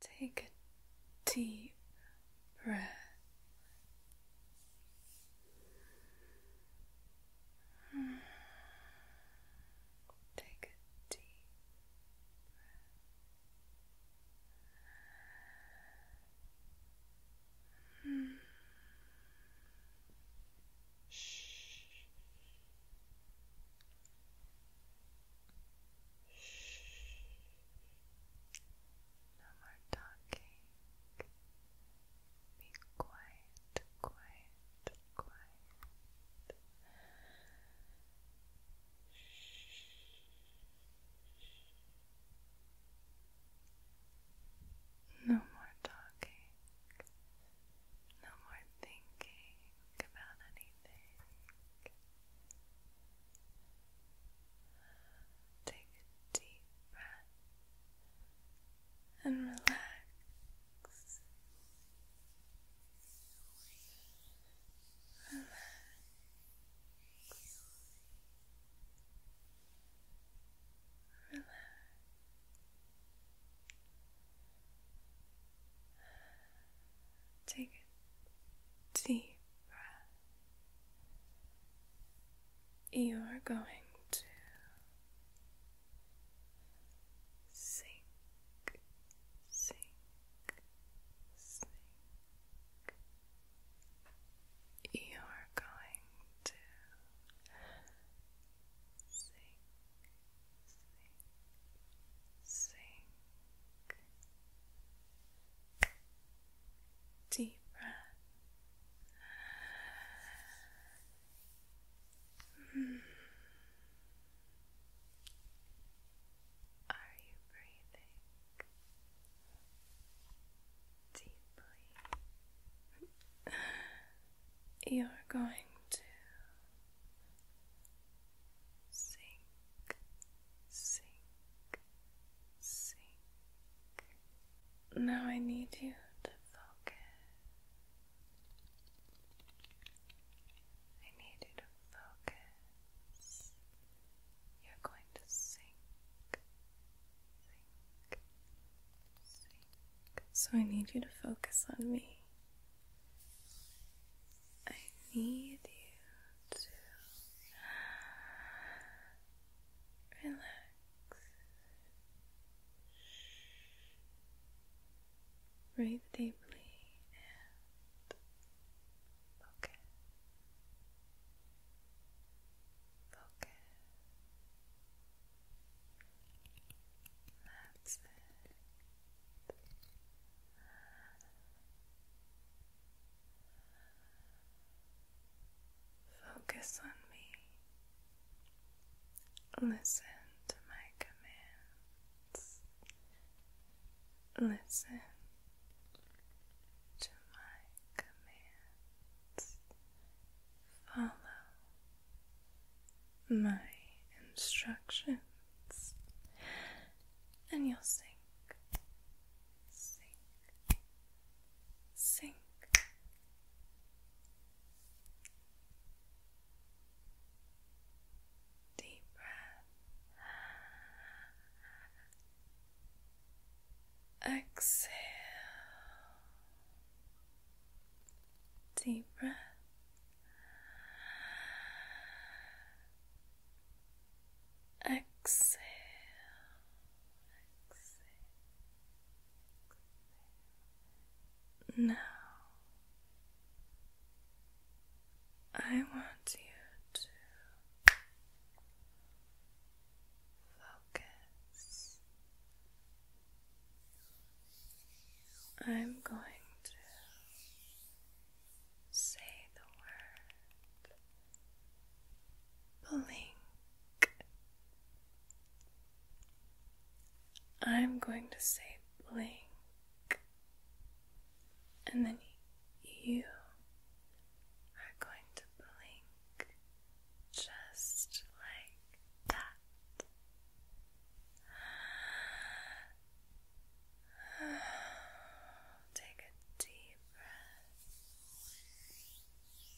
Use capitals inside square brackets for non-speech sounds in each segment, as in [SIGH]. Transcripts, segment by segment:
Take a deep breath. Take a deep breath. Shh. No more talking. Be quiet, quiet, quiet. No more talking. No more thinking about anything. Take a deep breath and relax. Relax. Relax. Take a deep breath. You are going to sink, sink, sink. You are going to sink, sink, sink. Deep breath. Hmm. Are you breathing deeply? [LAUGHS] You're going to sink sink, sink. Now I need you to focus. I need you to focus. You're going to sink, sink, sink. So I need you to focus on me. I need you to relax. Breathe deeply and focus. Focus. That's it. Focus on me. Listen to my commands. Listen to my commands. Follow my instructions, and you'll sink sink, sink. Deep breath. Exhale. Deep breath. Exhale. Now, I want you to focus. I'm going to say the word blink. I'm going to say blink, and then you are going to blink just like that. [SIGHS] Take a deep breath,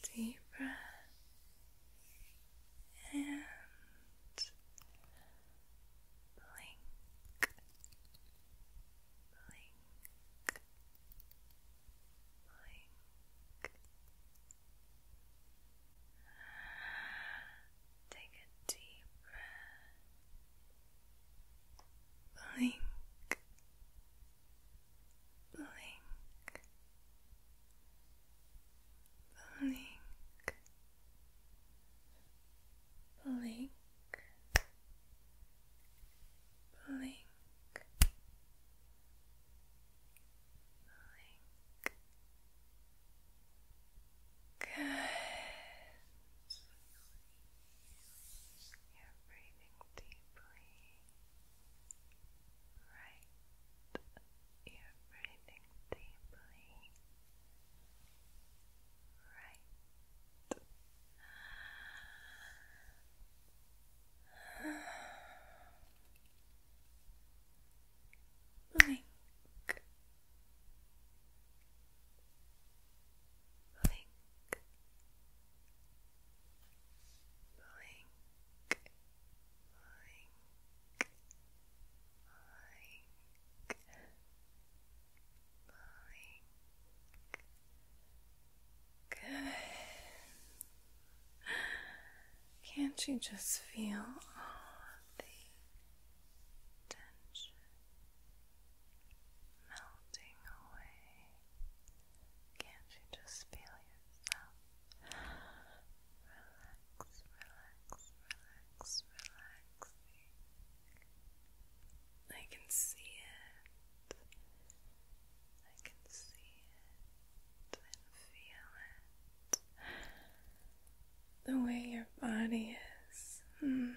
deep breath, and blink, blink, blink. [SIGHS] Take a deep breath blink, blink, blink, blink. Blink, blink. Good. You're breathing deeply. Right. You're breathing deeply. Right. Blink. Blink blink, blink, blink, blink. Good. Can't you just feel all the tension melting away. Can't you just feel yourself? Relax, relax, relax, relaxing. I can see it. I can see it and feel it. The way your body is. Mm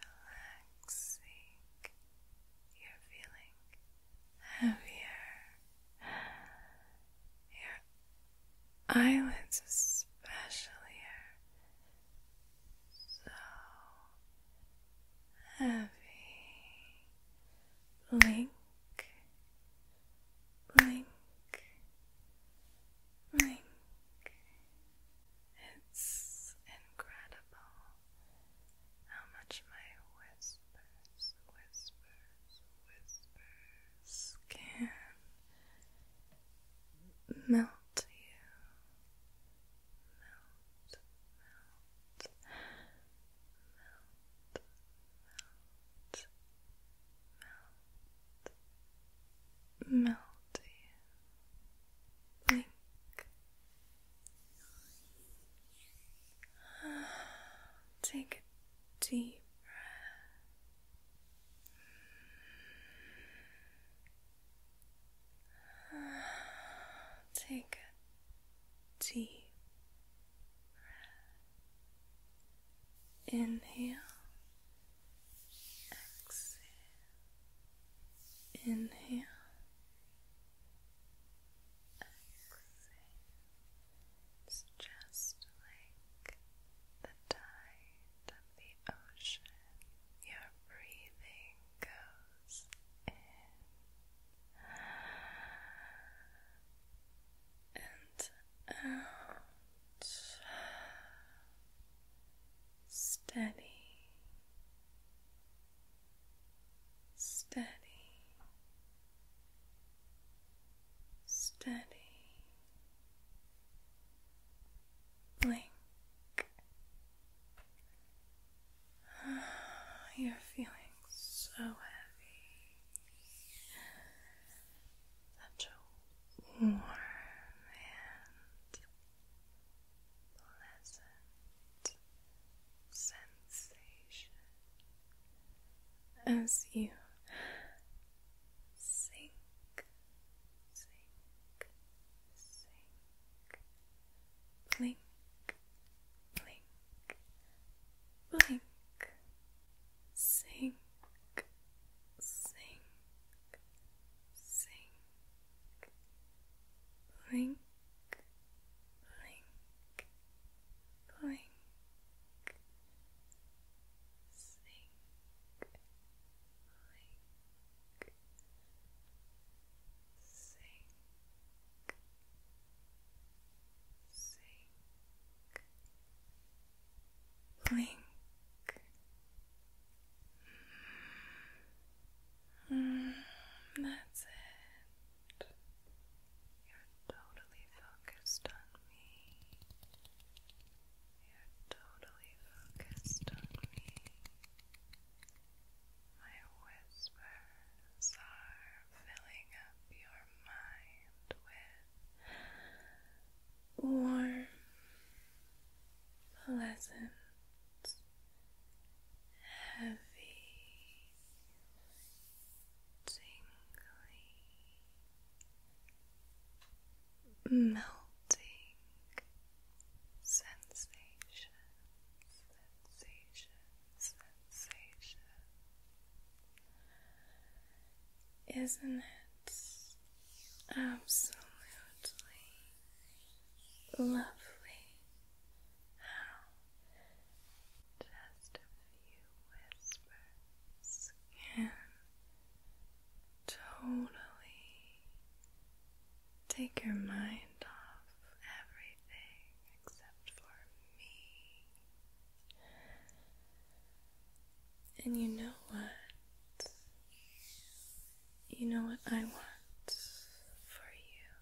relaxing. You're feeling heavier. Your eyelids, especially, are so heavy. Blink, blink, blink. It's incredible how much my whispers, whispers, whispers can melt you. Melt, melt, melt, melt, melt, Take a deep breath. Take a deep breath. Inhale. Exhale. Inhale. It's just like the tide of the ocean. Your breathing goes in and out. Steady steady, steady, blink. [SIGHS] You're feeling so heavy, such a warm and pleasant sensation as you sink, sink, sink, blink, blink, blink, sink, sink, sink blink, blink, blink, sink, blink, sink, sink, blink. Mm, that's it. You're totally focused on me. You're totally focused on me. My whispers are filling up your mind with warm, pleasant heavy, tingly, melting sensation, sensation, sensation. Isn't it absolutely lovely how just a few whispers can totally take your mind off everything except for me. And you know what? You know what I want for you?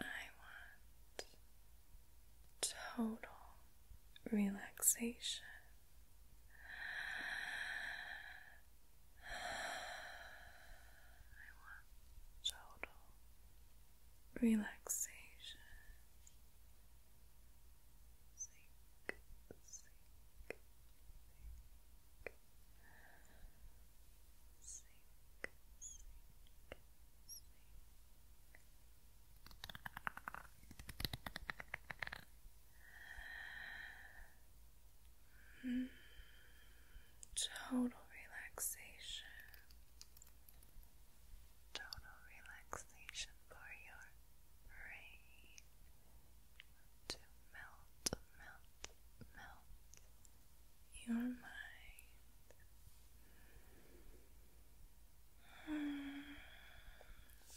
I want total relaxation. I want total relaxation. Sink, sink, sink, Total relaxation. Total relaxation for your brain to melt, melt, melt your mind.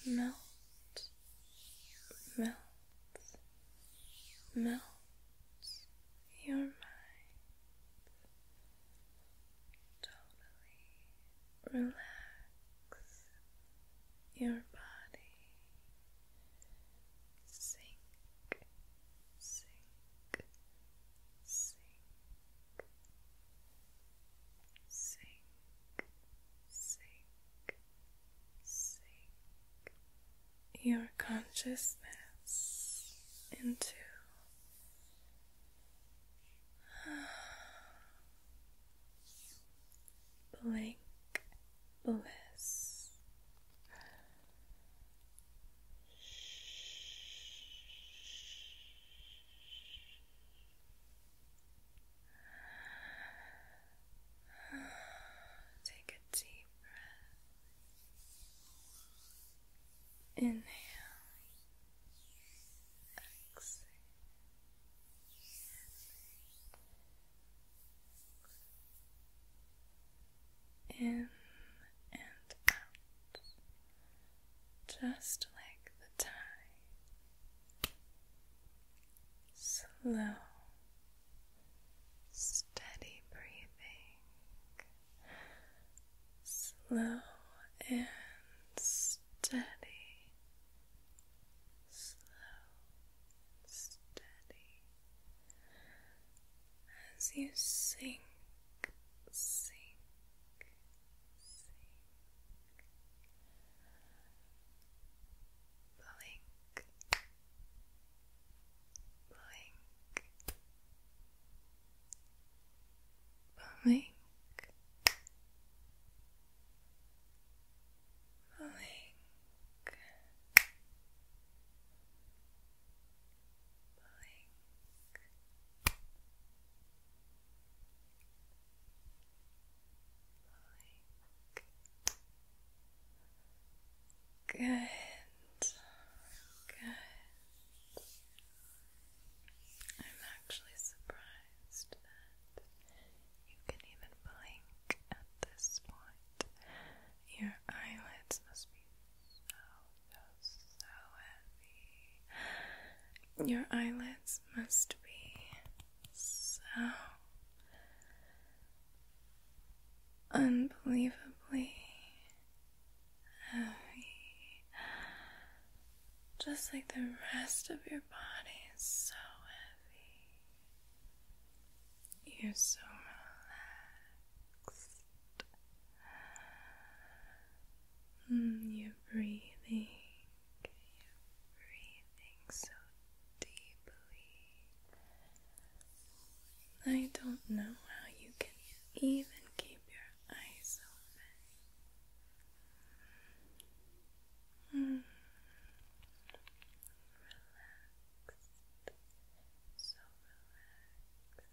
Melt, melt, melt your mind. Totally relax your body sink, sink, sink, sink, sink, sink your consciousness into bliss. Take a deep breath. Inhale. Exhale in and out, just like the tide, slow, steady breathing, slow and steady slow, steady as you sink, sink, sink, blink, blink, blink. Blink, Good. Good. I'm actually surprised that you can even blink at this point. Your eyelids must be so, so, heavy. Your eyelids must be so unbelievably heavy. Just like the rest of your body is so heavy. You're so relaxed. Mm, you're breathing. so deeply. I don't know how you can even keep your eyes open. Mm relaxed, so relaxed.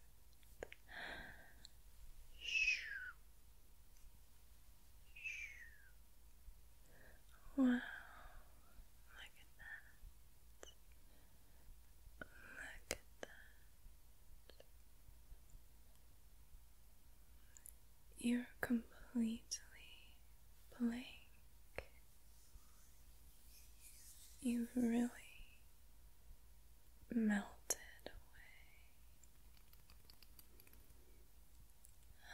Wow, look at that. Look at that. You're completely blank. You've really melted away. [SIGHS]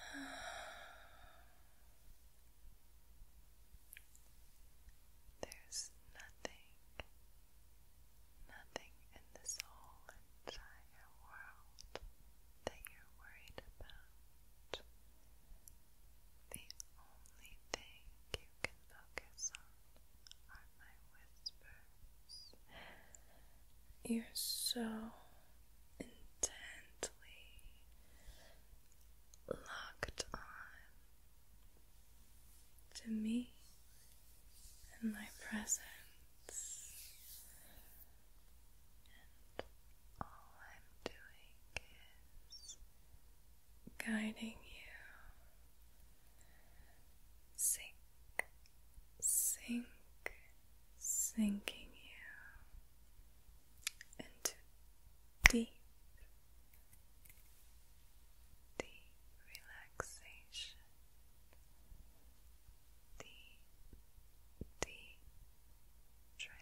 There's nothing, nothing in this whole entire world that you're worried about. The only thing you can focus on are my whispers. You're so intently locked on to me and my presence. And all I'm doing is guiding you. Sink, sink, sinking you into deep, deep relaxation. Deep, deep trance.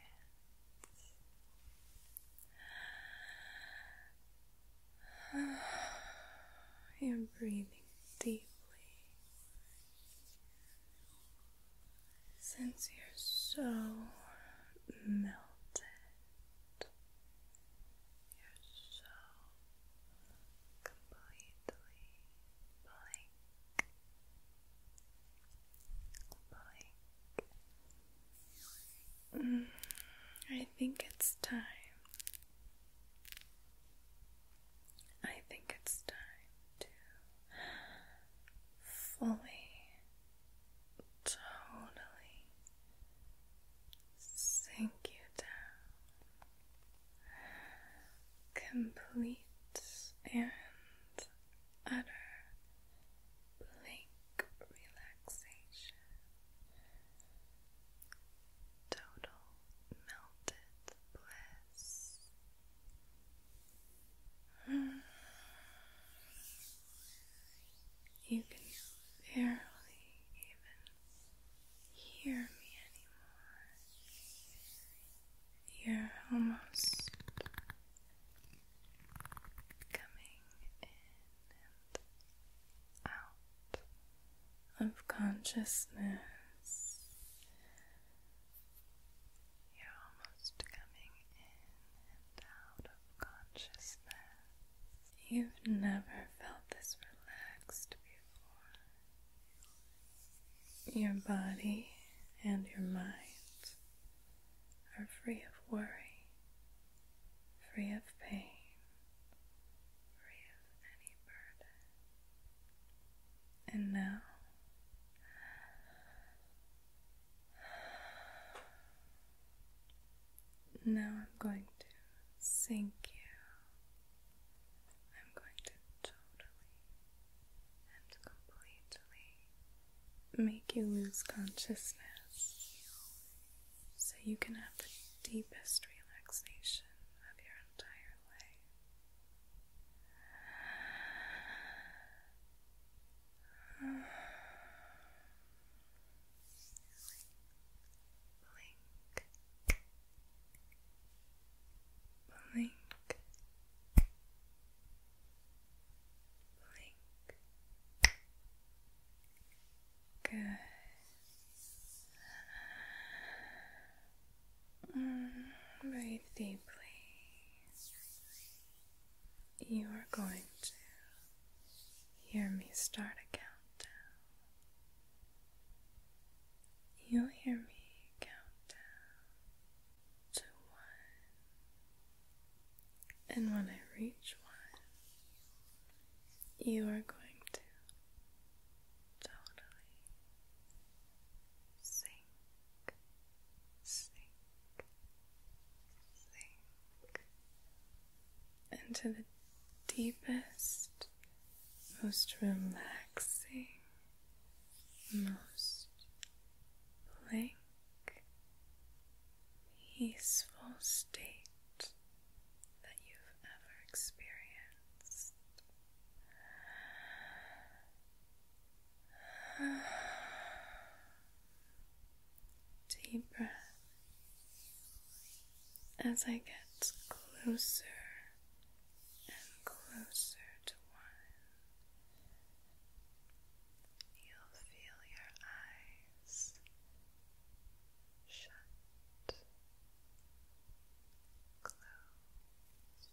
[SIGHS] I'm breathing deeply. Since you're so melted, you're so completely blank. Mm, I think it's time. I think it's time to fully, totally sink you down. Complete and utter blank relaxation, total melted bliss. [SIGHS] You can barely even hear me anymore. You're almost coming in and out of consciousness. You're almost coming in and out of consciousness. You've never felt this relaxed before. Your body and your mind are free of worry, free of pain, free of any burden. And now, now I'm going to sink you. I'm going to totally and completely make you lose consciousness so you can have the deepest relaxation of your entire life. [SIGHS] Blink, blink, Good. Mm, breathe deeply. You are going to hear me start a countdown. You'll hear me count down to one. And when I reach one, you are going to totally sink, sink, sink into the deepest, most relaxing, most playful peaceful state that you've ever experienced. Deep breath as I get closer and closer to one. You'll feel your eyes shut, close,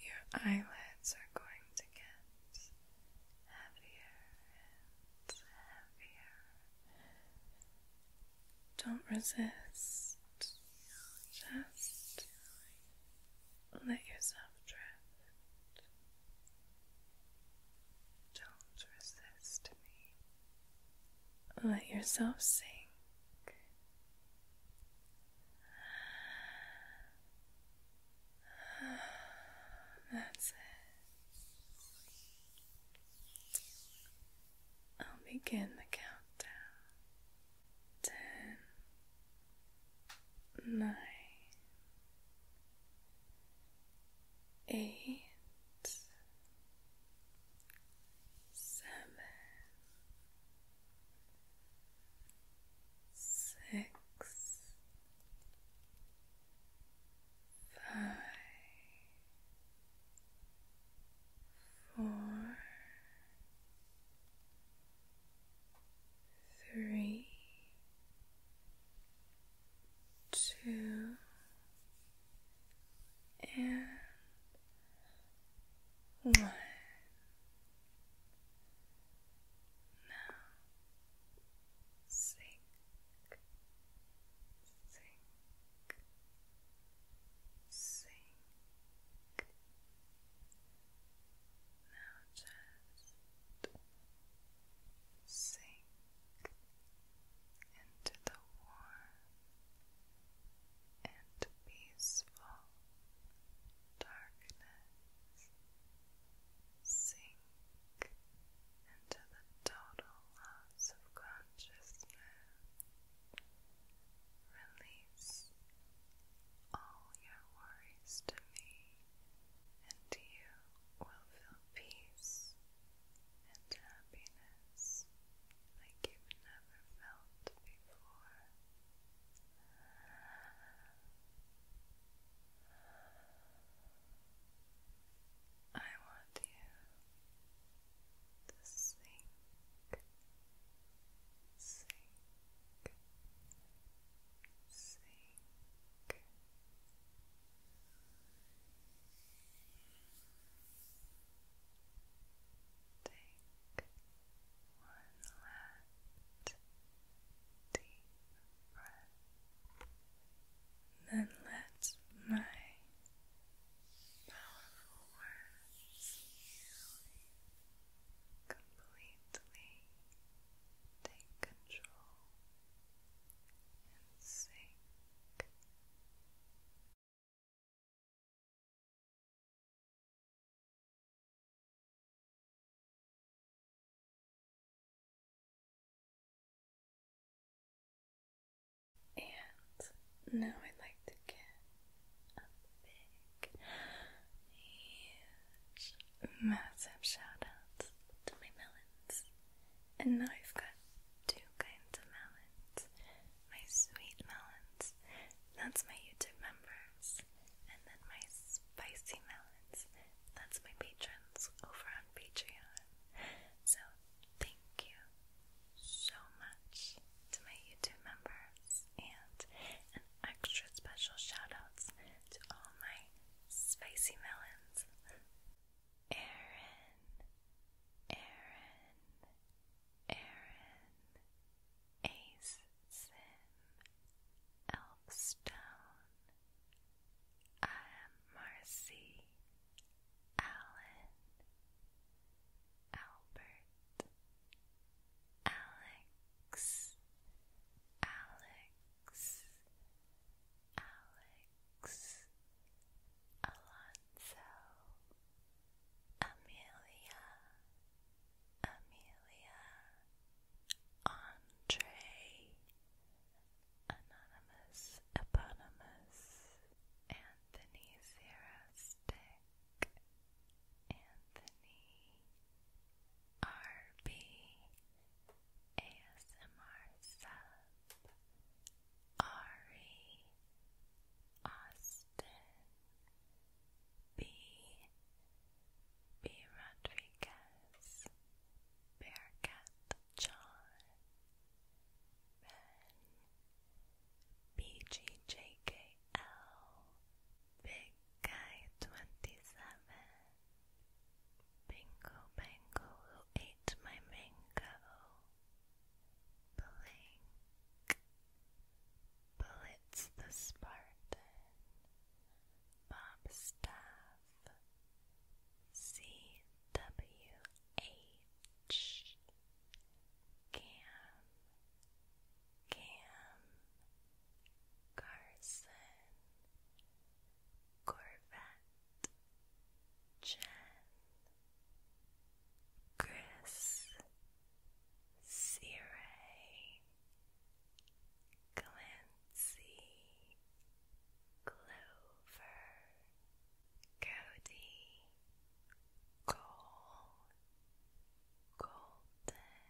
your eyelids are going to get heavier and heavier. Don't resist, just let yourself drift. Don't resist me. Let yourself sink. That's it. I'll begin the countdown. Ten, nine, eight, seven, six, five, four, three, two, and one. Now sink, sink sink. Now just sink into the warm and peaceful darkness. Sink and the total loss of consciousness. Release all your worries to me, and you will feel peace and happiness like you've never felt before. I want you the sink, sink, sink. one last deep breath. Then let my powerful words completely. Take control and sink. And now I'd like to get a big, huge, massive shout to my melons. And now I've got two kinds of melons my sweet melons, that's my YouTube members, and then my spicy melons, that's my patrons over on Patreon. So, thank you so much to my YouTube members and an extra special shout to all my spicy melons. Aaron, Aaron, Aaron, Ace Sim, Elfstone, I am Marcy, Alan, Albert, Alex, Alex, Alex, Alonso, Amelia, Amelia, Andre, Anonymous, Eponymous, and Anthony Zero Anthony RB ASMR Sub, Ari Austin B. B. Rodriguez, Bearcat John, Ben BGJKL 27 Bingo Bango who my mango Blink Bullets the Spartan Bob Staff CWH Cam, Cam, Carson, Corvette, Jen, Chris, Siray, Clancy, Clover, Cody, Gold, Golden,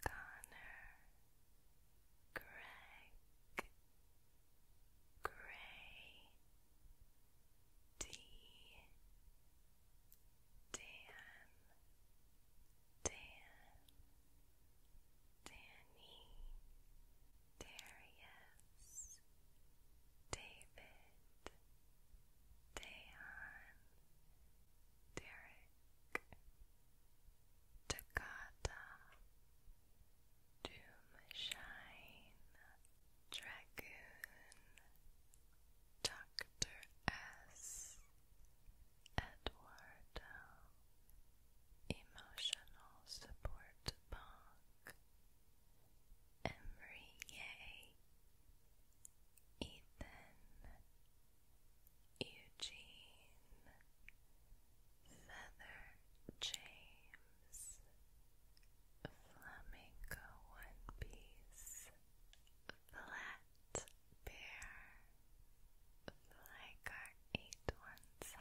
Connor, Greg, Gray, D, Dan, Dan, Danny, Darius, David, Dayon, Derek, Takata, Doomshine, Dragoon, Doctor S, Eduardo, Emotional Support Bonk, Emery Ethan Eugene Feather James Flamingo One Piece Flat Bear Flycar 817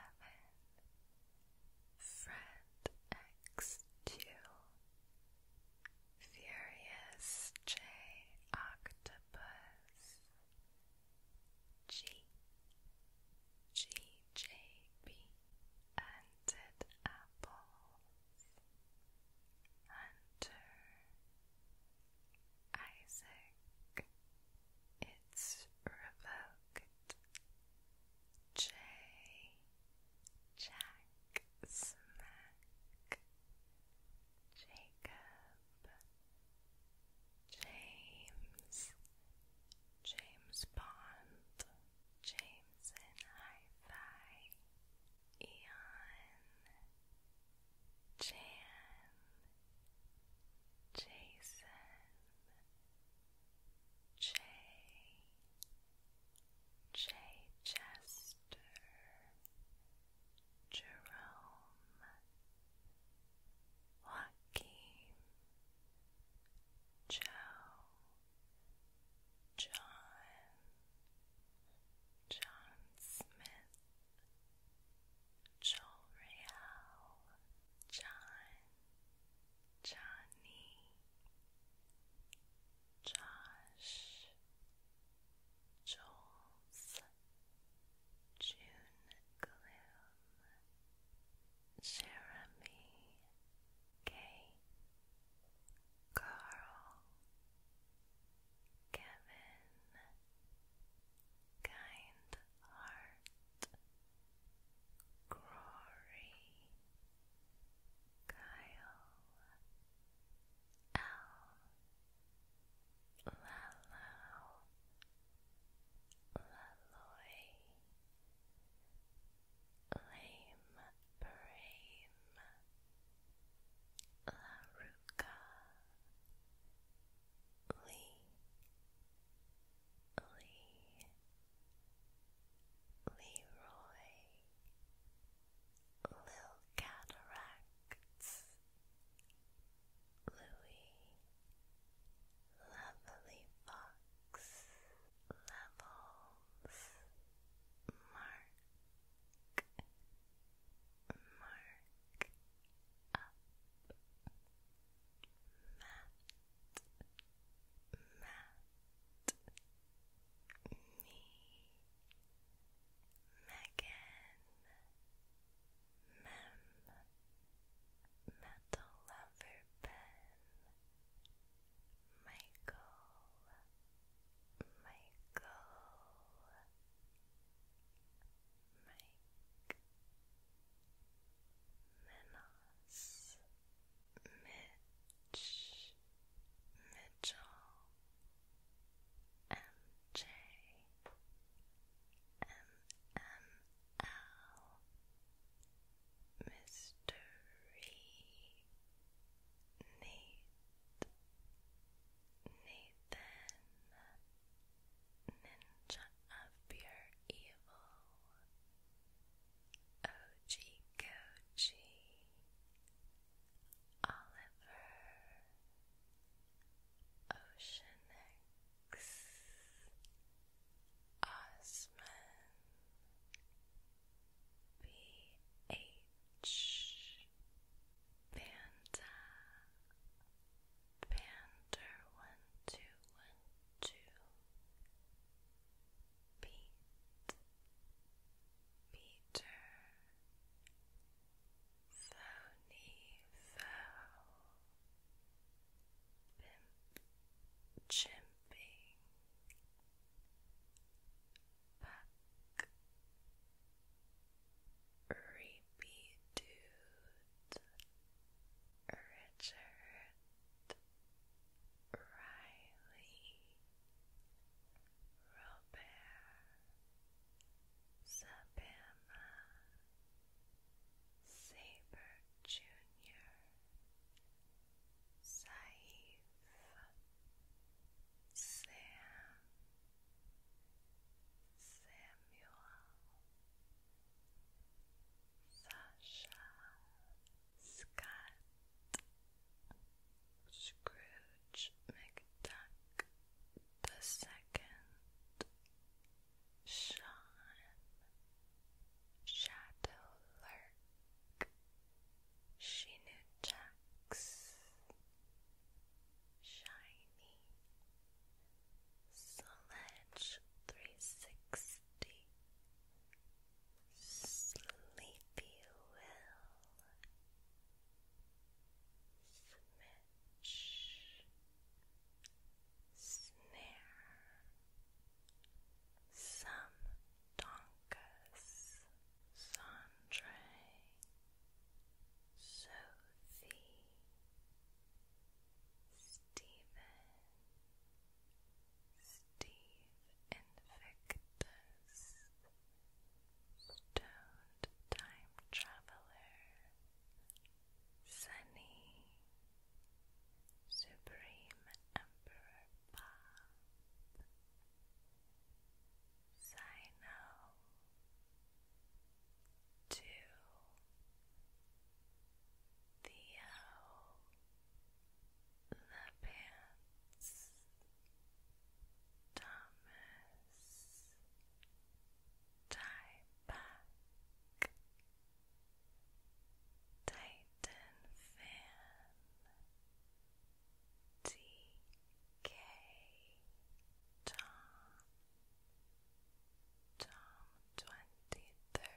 Friend X2 Furious J Octopus G GJB Hunted Apples Hunter Isaac It's Revoke J Jack Smack Jacob James James Bond James in Hi-Fi Eon Jan Jason Jay J. Jerome, Joaquin, Joe, John, John Smith, Joel John, Johnny, Josh, Jules, June Gloom, Jeremy, Kay, Carl, Kevin, Kind Heart, Glory, Kyle Al Lalo Laloy Lame Brame Laruka Lee Lee Leroy Lil Cataracts Louis Lovely Fox Levels Mark Mark Up Matt Matt me, Megan, Mem, Metal Lover Ben, Michael, Michael, Mike, Menos. Mitch, Mitchell, MJ, MML, Mystery, Nate, Nathan, Ninja of Pure Evil. Oji Oliver, Ocean Osman, BH, Panda, Pander one two one two Pete, Peter, Phony Foe, Chimping, Puck, Reapy Dude, Richard. Riley, Robert, Sabama, Saber Junior, Saif, Sam, Samuel, Sasha, Scott. Scrooge McDuck the second Sean Shadow Lurk She Shiny Sledge 360 Sleepy Will Smitch Snare Some Donkas Sandre Sophie Stephen Steve Invictus, Stoned Time Traveler, Sunny, Supreme Emperor Bob, Sino, Two, Theo the pants, Thomas, tie back, Titan fan, TK, Tom, Tom twenty third.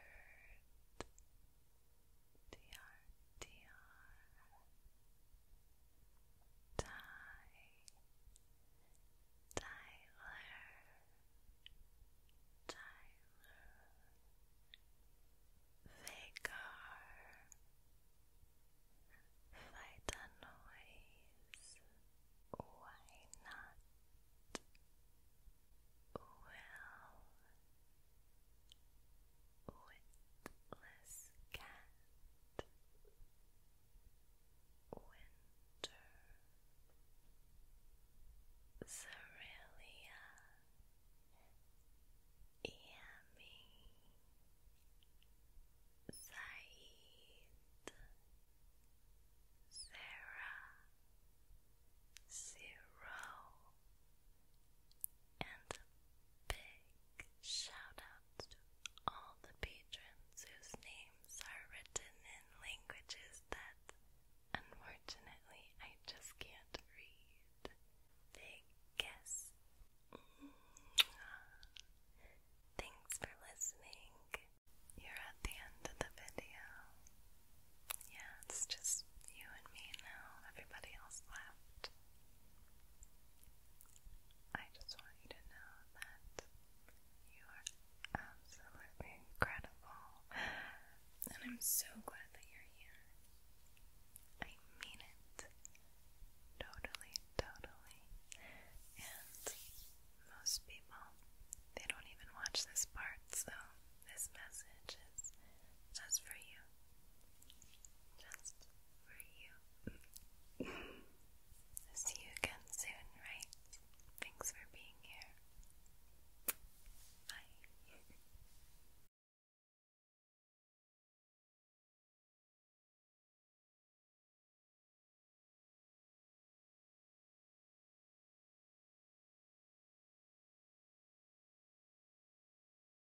DR, Ty, Tyler, Tyler, Vagar, Fight a Noise, Why Not, Will, Witless winter, Cerealia, Yami, Said, Sarah, Zero. And a big shout out to all the patrons whose names are written in languages that unfortunately I just can't read. Big guess. Thanks for listening. You're at the end of the video. Yeah, it's just you and me now. Everybody else left. I just want you to know that you are absolutely incredible, and I'm so glad that you're here. I mean it. Totally, totally. And most people, they don't even watch this part, so this message is just for you. Just for you. see you again soon, right? Thanks for being here. Bye.